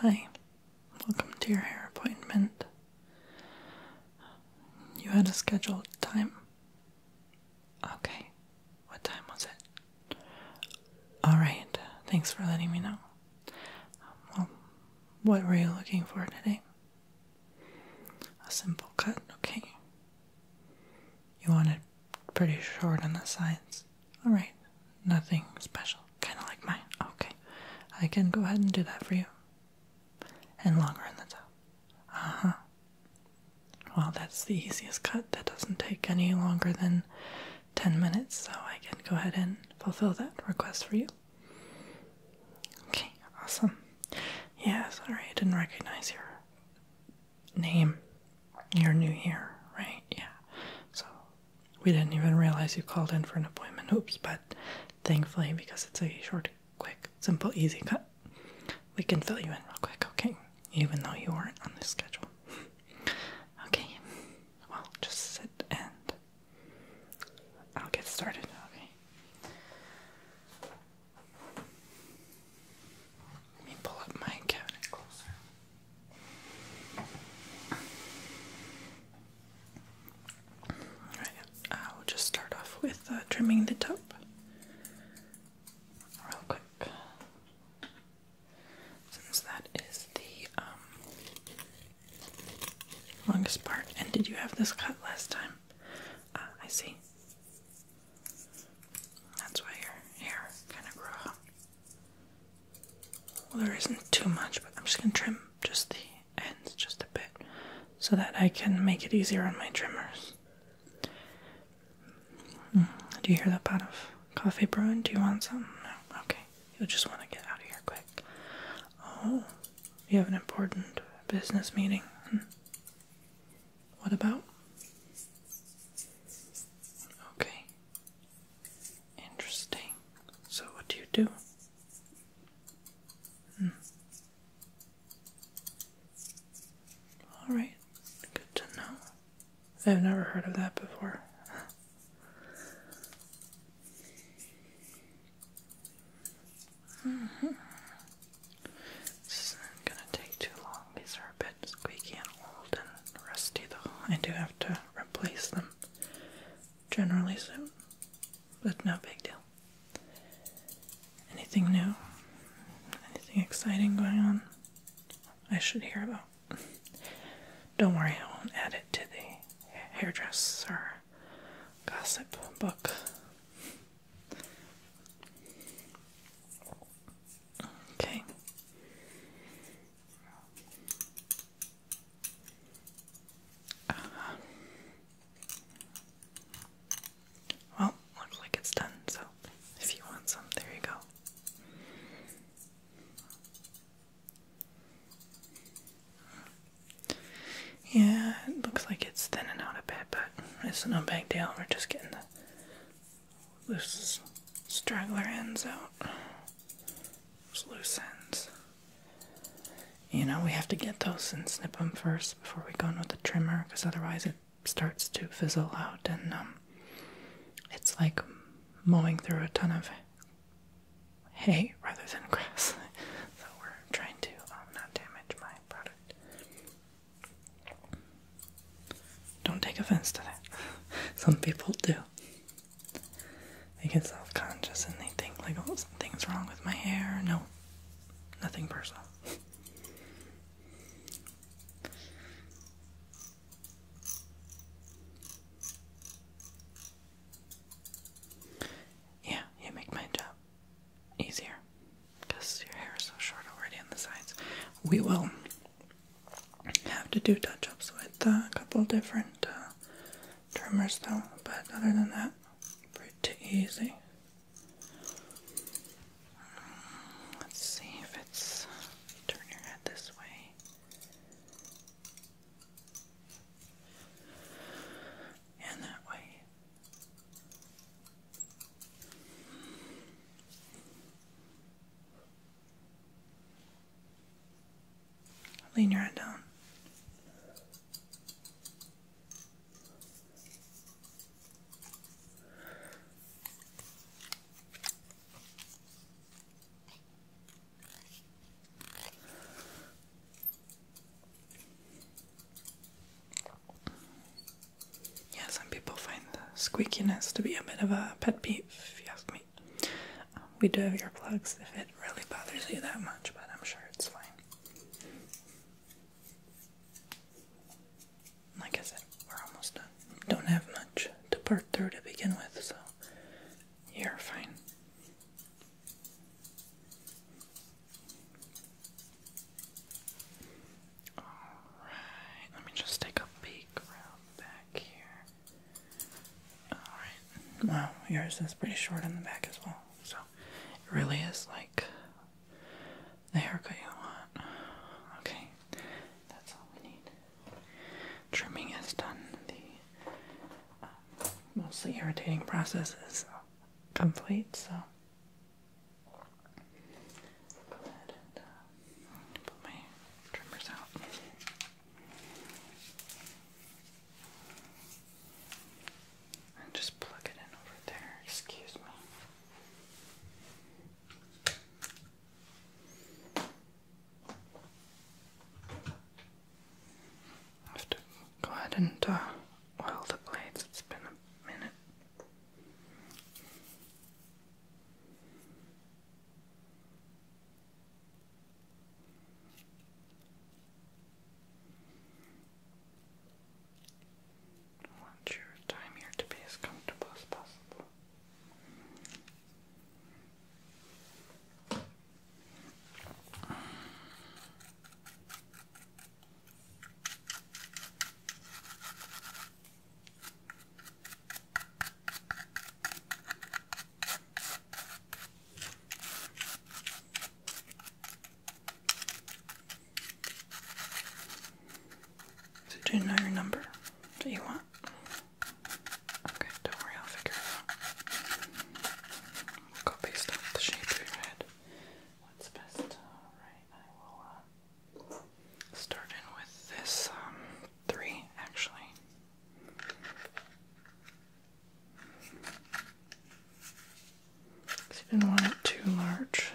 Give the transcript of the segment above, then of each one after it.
Hi, welcome to your hair appointment. You had a scheduled time. Okay, what time was it? Alright, thanks for letting me know. Well, what were you looking for today? A simple cut, okay. You wanted pretty short on the sides. Alright, nothing special. Kind of like mine. Okay, I can go ahead and do that for you. And longer on the top. Uh huh. Well, that's the easiest cut. That doesn't take any longer than 10 minutes, so I can go ahead and fulfill that request for you. Okay, awesome. Yeah, sorry, I didn't recognize you name you're new here, right? Yeah. So we didn't even realize you called in for an appointment. Oops, but thankfully because it's a short, quick, simple, easy cut, we can fill you in real quick, okay? Even though you weren't on the schedule. okay. Well, just sit and I'll get started, okay? Let me pull up my cabinet Alright, I will just start off with uh, trimming the top real quick. Since that is the um, longest part. And did you have this cut last time? Uh, I see. That's why your hair kind of grew out. Well, there isn't too much, but I'm just gonna trim just the ends just a bit so that I can make it easier on my trimmers. Hmm, do you hear that pot of coffee brewing? Do you want some? No. Okay. you just want to get out of here quick. Oh, you have an important business meeting. Hmm. What about? Okay. Interesting. So, what do you do? Hmm. Alright, good to know. I've never heard of that before. Mm -hmm. This isn't gonna take too long. These are a bit squeaky and old and rusty, though. I do have to replace them generally soon, but no big deal. Anything new? Anything exciting going on? I should hear about. Don't worry, I won't add it to the hairdresser gossip book. Okay. Uh-huh. well, looks like it's done, so if you want some, there you go. Yeah, it looks like it's thinning out a bit, but it's no big deal. We're just getting the loose straggler ends out. Those loose ends. You know, we have to get those and snip them first before we go in with the trimmer, because otherwise it starts to fizzle out and um, it's like mowing through a ton of hay rather than grass. so we're trying to um, not damage my product. Don't take offense to that. Some people do. They get self conscious and they think, like, oh, something's wrong with my hair. No, nothing personal. Yeah, you make my job easier because your hair is so short already on the sides. We will have to do touch ups with uh, a couple different uh, trimmers though, but other than that, pretty easy. Let's see if it's. Turn your head this way. And that way. Lean your head down. Yeah, some people find the squeakiness to be a bit of a pet peeve, if you ask me. Um, we do have earplugs if it really bothers you that much, but I'm sure it's fine. Like I said, we're almost done. Don't have much to part through to begin with, so you're fine. Alright, let me just take a peek around back here. Alright, wow, yours is pretty short in the back as well, so it really is like the haircut you want. Okay, that's all we need. Trimming is done. The uh, mostly irritating process is complete, so put my trimmers out. just plug it in over there, excuse me. I go ahead and uh, oil the blades. It's been a minute. want your time here to be as comfortable as possible. So do you know your number Do you want? Okay, don't worry, I'll figure it out. I've got based off the shape of your head. What's best? Alright, I will uh, start in with this um, three, actually. didn't want it too large,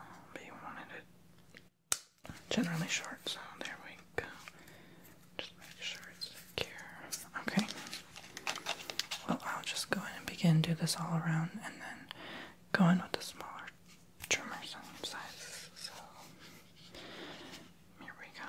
um, but you wanted it generally short, so there we go. Just make sure it's secure. Okay. Well, I'll just go in and begin do this all around and then go in with the smaller trimmer size. So here we go.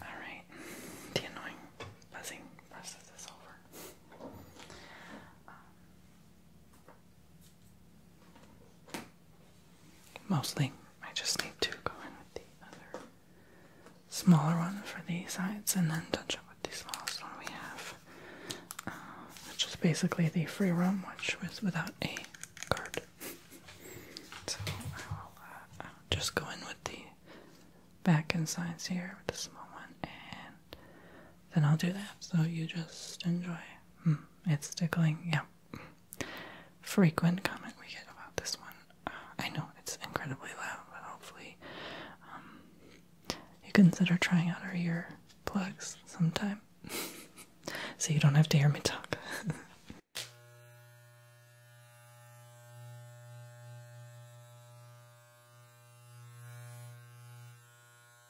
Alright, the annoying buzzing process is over. Um, Mostly, I just need to go in with the other smaller one for these sides and then touch up with the smallest one we have, uh, which is basically the free room, which was without a card. so I will uh, just go in with the back and sides here with the small one, and then I'll do that. So you just enjoy. Hmm, it's tickling, yeah frequent comment we get about this one. Uh, I know it's incredibly loud, but hopefully um, you consider trying out our ear plugs sometime so you don't have to hear me talk.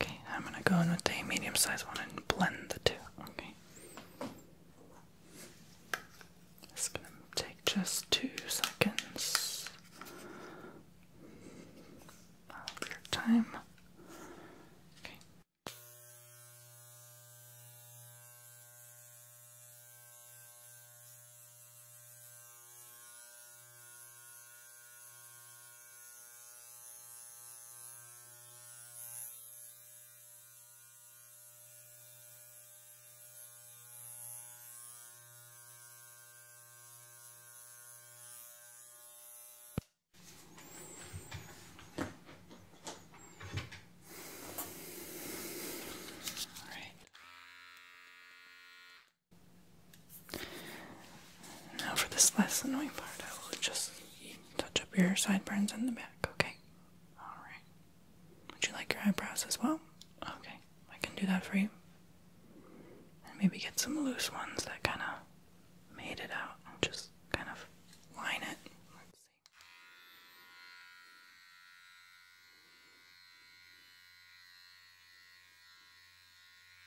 Okay, I'm gonna go in with a medium sized one and blend the two. Okay. It's going to take just two seconds your time. Okay. All right. Now for this last annoying part, I will just touch up your sideburns in the back, okay? Alright. Would you like your eyebrows as well? Okay, I can do that for you. And maybe get some loose ones that kind of made it out and just kind of line it. Let's see.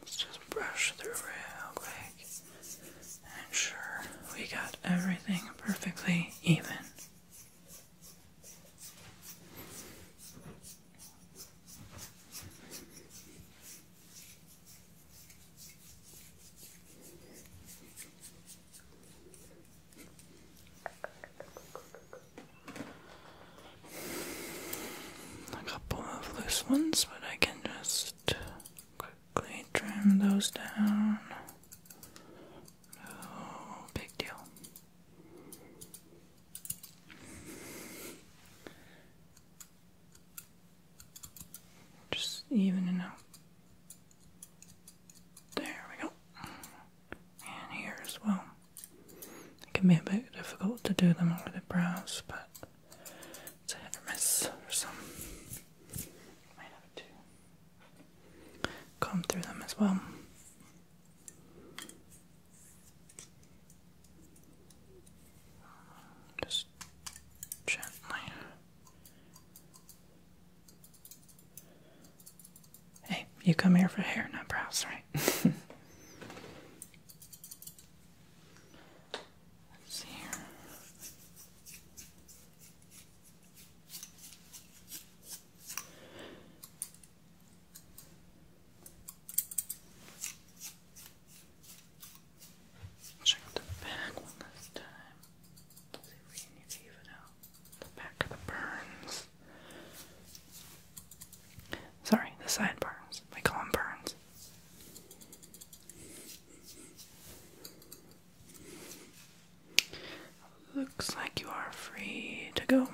Let's just brush through real quick. And sure, we got everything perfectly even. A couple of loose ones, but I can just quickly trim those down. No big deal. Just evening out. There we go. And here as well. It can be a bit difficult to do them over the brows, but it's a hit or miss for some. Might have to comb through them as well. Just gently. Hey, you come here for hair, and brows, right? Let's see here. Check the back one last time. see if we need to even out the back of the burns. Sorry, the side burns. We call them burns. Looks like you are free to go.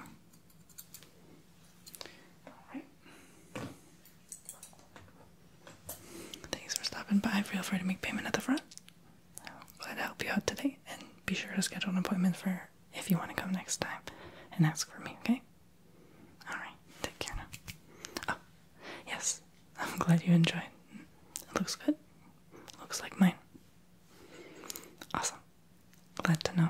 Alright. Thanks for stopping by. Feel free to make payment at the front. I'm glad to help you out today, and be sure to schedule an appointment for if you want to come next time and ask for me, okay? Alright, take care now. Oh, yes, I'm glad you enjoyed. It looks good. Looks like mine. Awesome. Glad to know.